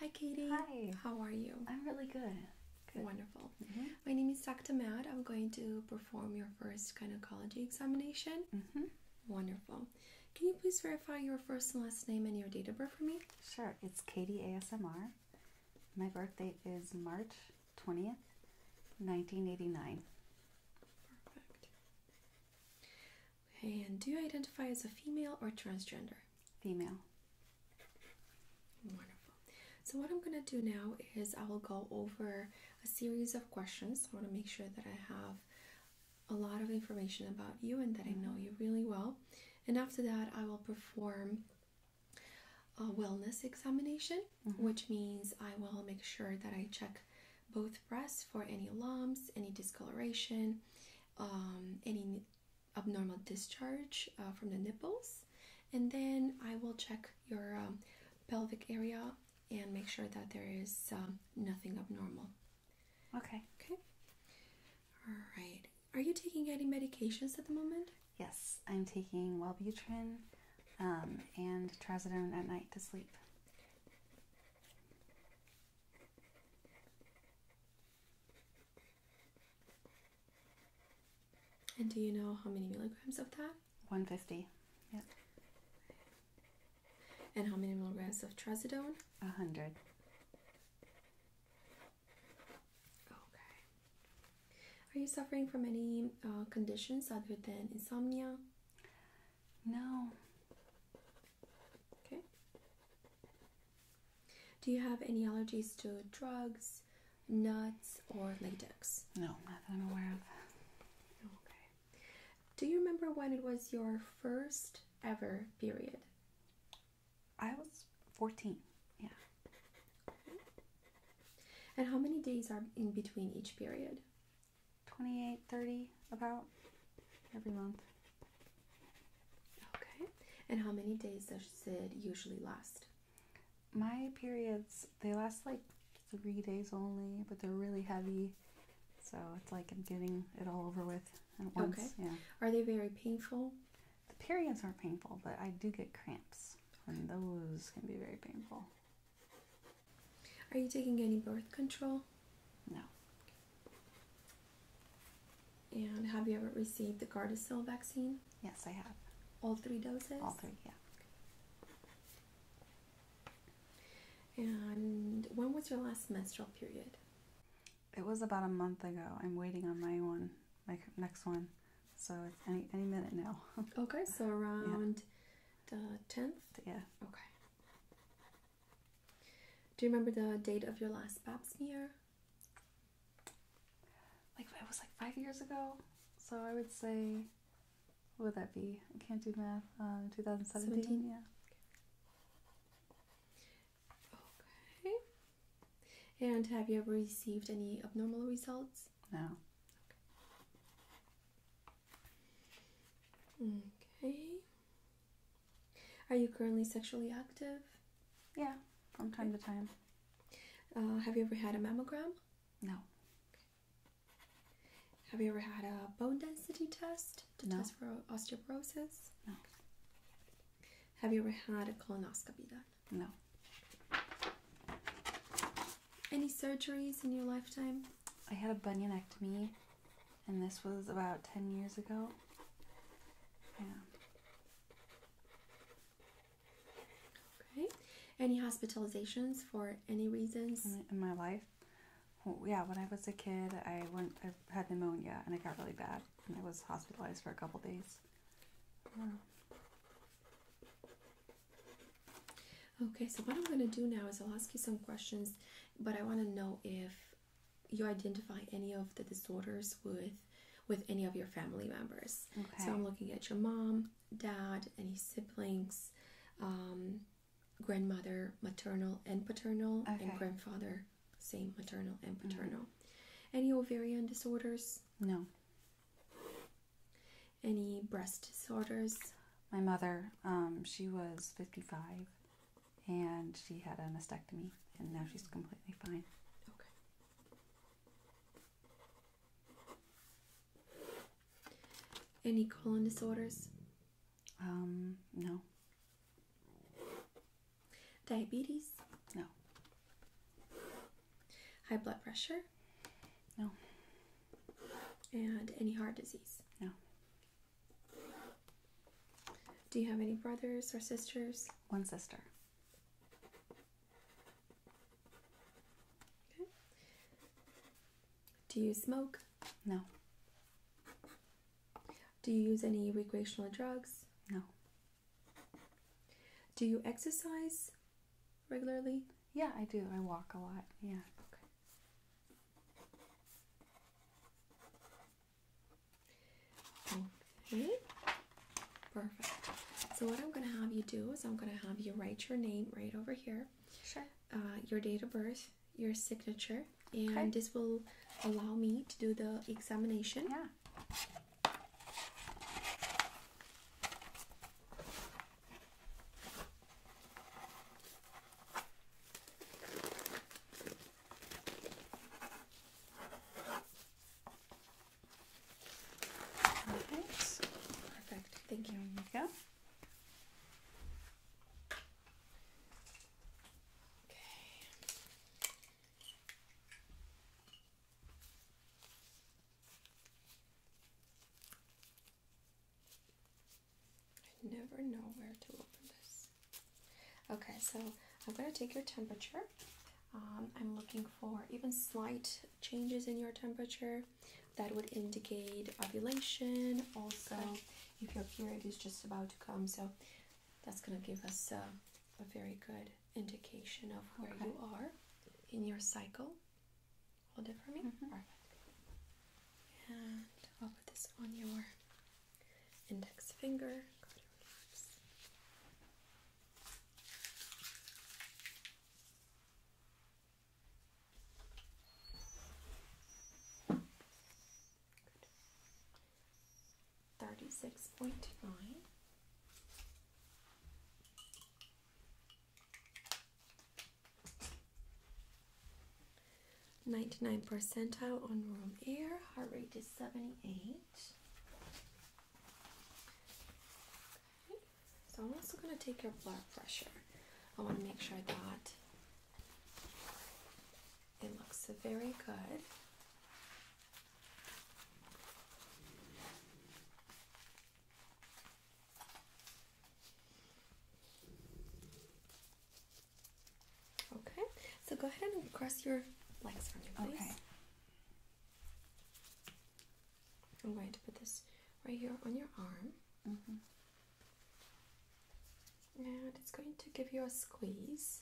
Hi, Katie. Hi. How are you? I'm really good. Wonderful. Mm-hmm. My name is Dr. Matt. I'm going to perform your first gynecology examination. Mm-hmm. Wonderful. Can you please verify your first and last name and your date of birth for me? Sure. It's Katie ASMR. My birthday is March 20th, 1989. Perfect. Okay, and do you identify as a female or transgender? Female. Wonderful. So, what I'm going to do now is I will go over a series of questions. I want to make sure that I have a lot of information about you and that I know mm-hmm. you really well. And after that, I will perform a wellness examination Mm-hmm. which means I will make sure that I check both breasts for any lumps, any discoloration, um, any abnormal discharge uh, from the nipples, and then I will check your um, pelvic area and make sure that there is um, nothing abnormal. Okay. Okay. All right. Are you taking any medications at the moment? Yes, I'm taking Wellbutrin, um, and trazodone at night to sleep. And do you know how many milligrams of that? 150. Yep. And how many milligrams of trazodone? 100. Okay. Are you suffering from any uh, conditions other than insomnia? No. Okay. Do you have any allergies to drugs, nuts, or latex? No, not that I'm aware of. Okay. Do you remember when it was your first ever period? I was 14. Yeah. And how many days are in between each period? Twenty-eight, thirty, about every month okay and how many days does it usually last my periods they last like three days only but they're really heavy so it's like i'm getting it all over with okay. are they very painful the periods aren't painful but i do get cramps and those can be very painful are you taking any birth control? No. And have you ever received the Gardasil vaccine? Yes, I have. All three doses? All three, yeah. And when was your last menstrual period? It was about a month ago. I'm waiting on my one, my next one. So any, any minute now. okay, so around the 10th? Yeah. Okay. Do you remember the date of your last pap smear? Like, it was like five years ago. So I would say, would that be? I can't do math. Um, 2017? 17? Yeah. Okay. And have you ever received any abnormal results? No. Okay. Are you currently sexually active? Yeah, from time to time. Uh, have you ever had a mammogram? No. Have you ever had a bone density test to test for osteoporosis? No. Have you ever had a colonoscopy done? No. Any surgeries in your lifetime? I had a bunionectomy, and this was about 10 years ago. Yeah. Okay. Any hospitalizations for any reasons? In, my life? yeah, when I was a kid, I went. I had pneumonia, and it got really bad, and I was hospitalized for a couple days. Okay, so what I'm going to do now is I'll ask you some questions, but I want to know if you identify any of the disorders with with any of your family members. Okay. So I'm looking at your mom, dad, any siblings, um, grandmother, maternal and paternal, and grandfather, same maternal and mm-hmm. paternal. Mm Any ovarian disorders? No. Any breast disorders? My mother, um, she was 55 and she had a mastectomy, and now she's completely fine. Okay. Any colon disorders? Um, no. Diabetes? No. High blood pressure? No. And any heart disease? No. Do you have any brothers or sisters? One sister. Okay. Do you smoke? No. Do you use any recreational drugs? No. Do you exercise regularly? Yeah, I do. I walk a lot. Yeah. Okay. Okay, perfect. So what I'm going to have you do is I'm going to have you write your name right over here. Sure. Uh, your date of birth, your signature, and this will allow me to do the examination. Yeah. Perfect. Perfect. Thank you, Mika. Okay. I never know where to open this. Okay, so I'm going to take your temperature. Um, I'm looking for even slight changes in your temperature that would indicate ovulation. Also, if your period is just about to come, so that's going to give us uh, a, very good indication of where you are in your cycle. Hold it for me. Mm-hmm. And I'll put this on your index finger. Thirty-six point nine. 99 percentile on room air. Heart rate is 78. So I'm also going to take your blood pressure. I want to make sure that it looks very good. Okay, so go ahead and cross your legs for me, Okay. I'm going to put this right here on your arm. Mm-hmm. And it's going to give you a squeeze.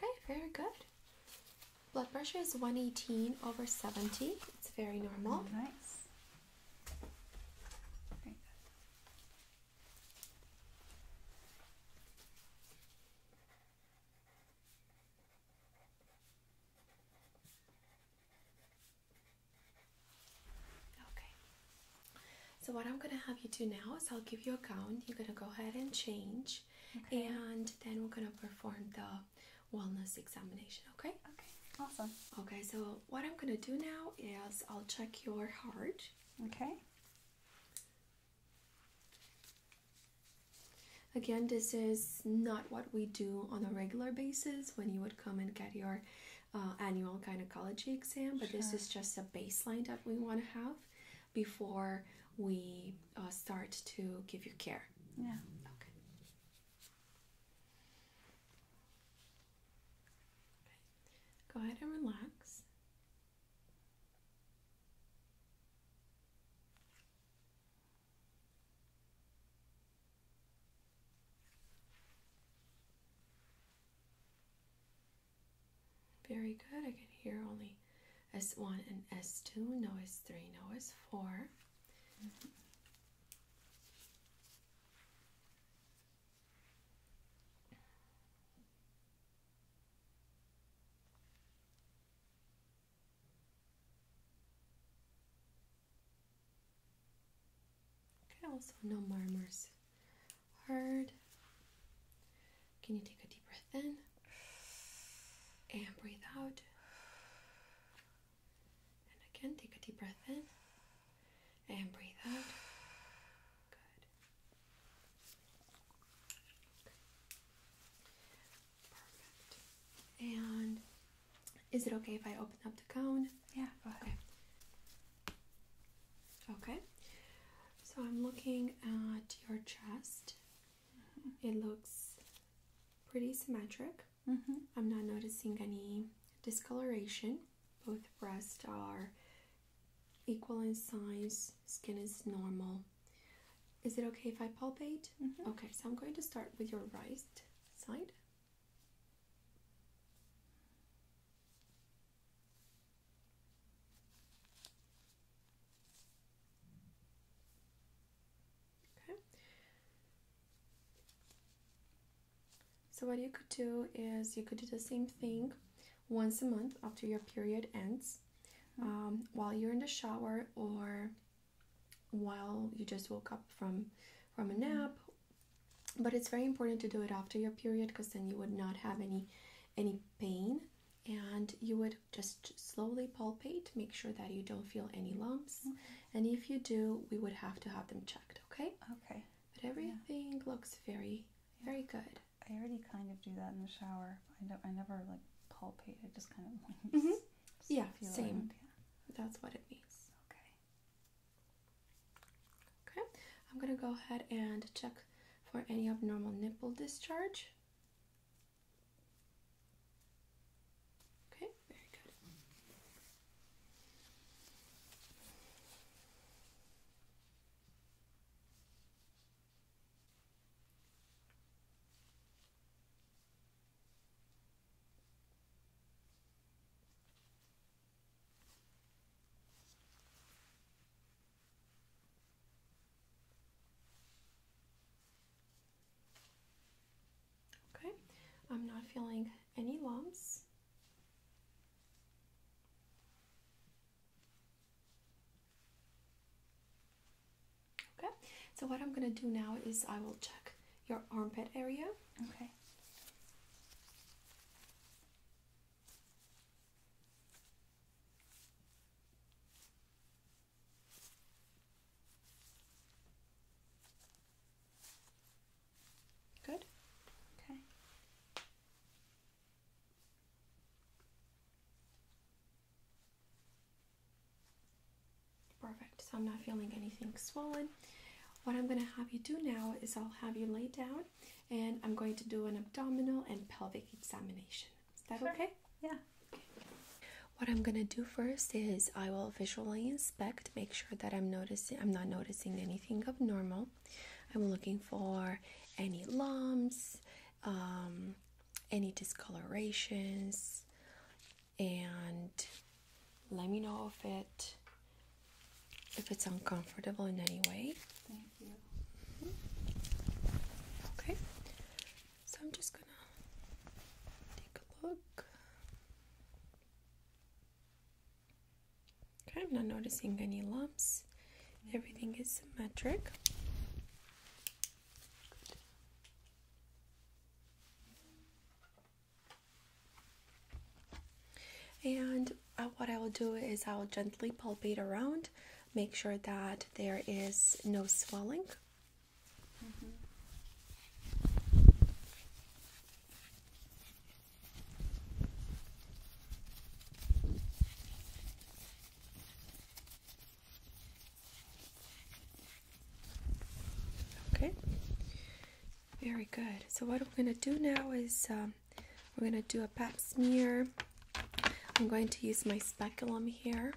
Okay, very good. Blood pressure is 118 over 70. It's very normal. Nice. Okay. So what I'm gonna have you do now is I'll give you a gown. You're gonna go ahead and change, and then we're gonna perform the wellness examination. Okay. Okay. Awesome. Okay. So what I'm gonna do now is I'll check your heart. Okay. Again, this is not what we do on a regular basis when you would come and get your uh, annual gynecology exam, but this is just a baseline that we want to have before we uh, start to give you care. Yeah. okay. Go ahead and relax. Very good. I can hear only S1 and S2, no S3, no S4. Okay, also no murmurs. Hard. Can you take a deep breath in and breathe out? And again, take a deep breath in and breathe out. Good. Perfect. And is it okay if I open up the cone? Yeah, go ahead. Okay. So I'm looking at your chest. Mm-hmm. It looks pretty symmetric. Mm-hmm. I'm not noticing any discoloration. Both breasts are equal in size, skin is normal. Is it okay if I palpate? Mm-hmm. Okay, so I'm going to start with your right side. Okay. So what you could do is you could do the same thing once a month after your period ends. Mm-hmm. Um, while you're in the shower or while you just woke up from from a nap but it's very important to do it after your period because then you would not have any any pain and you would just slowly palpate make sure that you don't feel any lumps mm-hmm. and if you do we would have to have them checked okay okay but everything looks very very good i already kind of do that in the shower i, don't, I never like palpate i just kind of like mm-hmm. Yeah, same. Yeah. That's what it means. Okay. Okay. I'm gonna go ahead and check for any abnormal nipple discharge. Okay, very good. Okay, I'm not feeling any lumps. Okay, so what I'm gonna do now is I will check your armpit area. Okay. Good. Okay. Perfect. So I'm not feeling anything swollen. What I'm going to have you do now is I'll have you lay down and I'm going to do an abdominal and pelvic examination. Is that okay? Yeah. Okay. What I'm going to do first is I will visually inspect, make sure that I'm noticing I'm not noticing anything abnormal. I'm looking for any lumps, um, any discolorations, and let me know if it if it's uncomfortable in any way. Mm-hmm. Okay. So I'm just gonna take a look. Okay, I'm not noticing any lumps. Everything is symmetric. And uh, what I will do is I'll gently palpate around, make sure that there is no swelling. Mm-hmm. Okay, very good. So what we're gonna do now is um, we're gonna do a pap smear. I'm going to use my speculum here,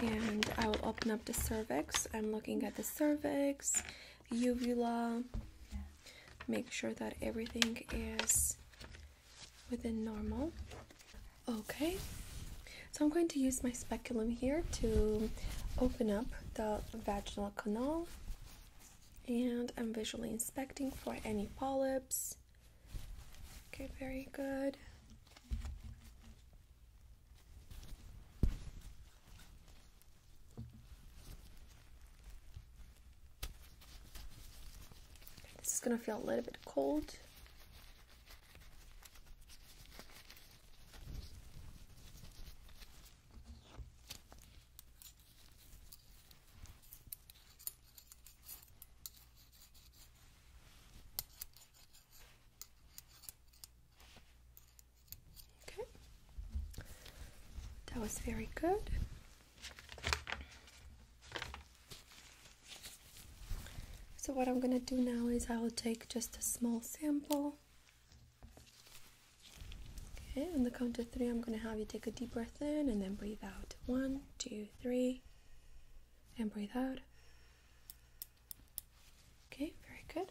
and I will open up the cervix. I'm looking at the cervix, uvula. Make sure that everything is within normal. Okay, so I'm going to use my speculum here to open up the vaginal canal and I'm visually inspecting for any polyps. Okay, very good. This is going to feel a little bit cold. Okay, that was very good. So, what I'm going to do now is I will take just a small sample. Okay, on the count of three, I'm going to have you take a deep breath in and then breathe out. One, two, three, and breathe out. Okay, very good.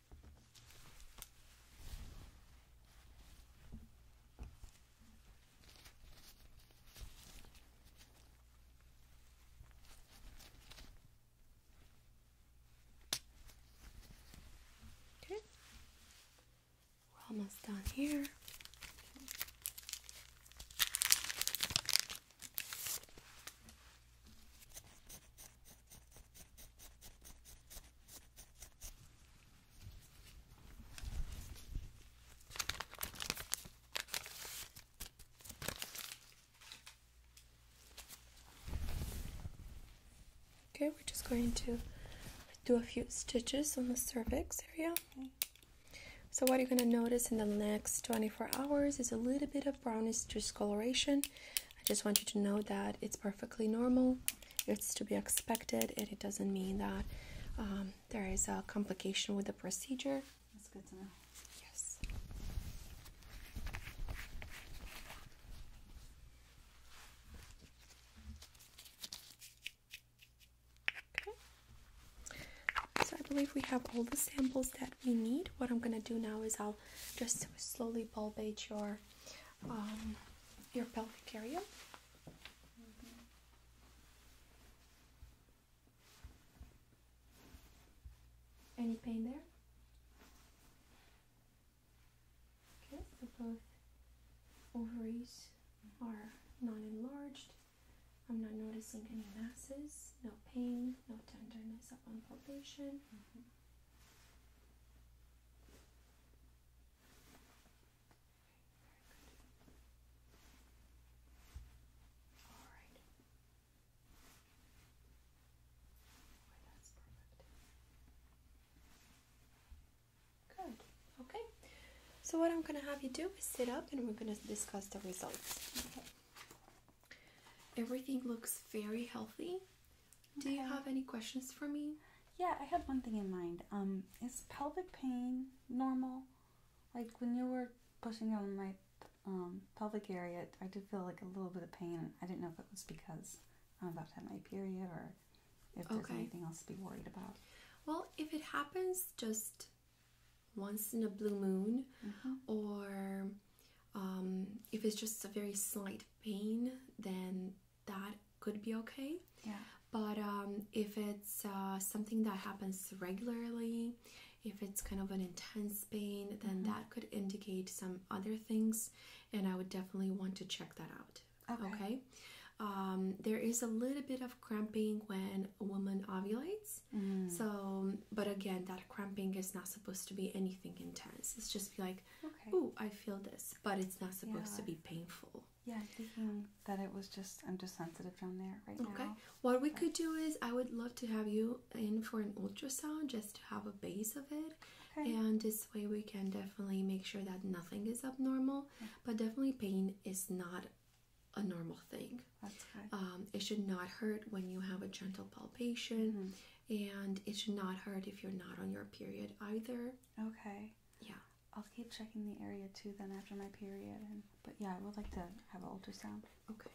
Okay. We're almost done here. Okay, we're just going to do a few stitches on the cervix area. So what you're going to notice in the next 24 hours is a little bit of brownish discoloration. I just want you to know that it's perfectly normal, it's to be expected, and it doesn't mean that um, there is a complication with the procedure. That's good to know. Yes. Okay. So I believe we have all the samples that we need. What I'm going to do now is I'll just slowly palpate your um, your pelvic area. Mm-hmm. Any pain there? Okay, so both ovaries are not enlarged. I'm not noticing any masses, no pain, no tenderness upon palpation. Mm-hmm. All right. Good. Okay. So what I'm gonna have you do is sit up, and we're gonna discuss the results. Okay. Everything looks very healthy. Do you have any questions for me? Yeah, I have one thing in mind. Um, is pelvic pain normal? Like when you were pushing on my um, pelvic area, I did feel like a little bit of pain. I didn't know if it was because I'm about to have my period or if there's anything else to be worried about. Well, if it happens just once in a blue moon mm-hmm. or um, if it's just a very slight pain, then that could be okay. Yeah. But um, if it's uh, something that happens regularly, if it's kind of an intense pain, then mm-hmm. that could indicate some other things, and I would definitely want to check that out. Okay. Um, there is a little bit of cramping when a woman ovulates. Mm. So, but again, that cramping is not supposed to be anything intense. It's just like like, oh, I feel this, but it's not supposed to be painful. Yeah, thinking that it was just I'm just sensitive down there right now. Okay. What we could do is I would love to have you in for an ultrasound just to have a base of it. And this way we can definitely make sure that nothing is abnormal. But definitely pain is not a normal thing. That's good. Um, it should not hurt when you have a gentle palpation. Mm-hmm and it should not hurt if you're not on your period either. Okay. Yeah. I'll keep checking the area too then after my period but yeah, I would like to have an ultrasound. Okay.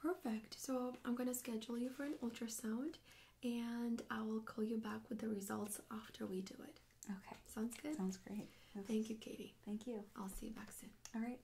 Perfect. So I'm gonna schedule you for an ultrasound and I will call you back with the results after we do it. Okay. Sounds good? Sounds great. Thank you, Katie. Thank you. I'll see you back soon. All right.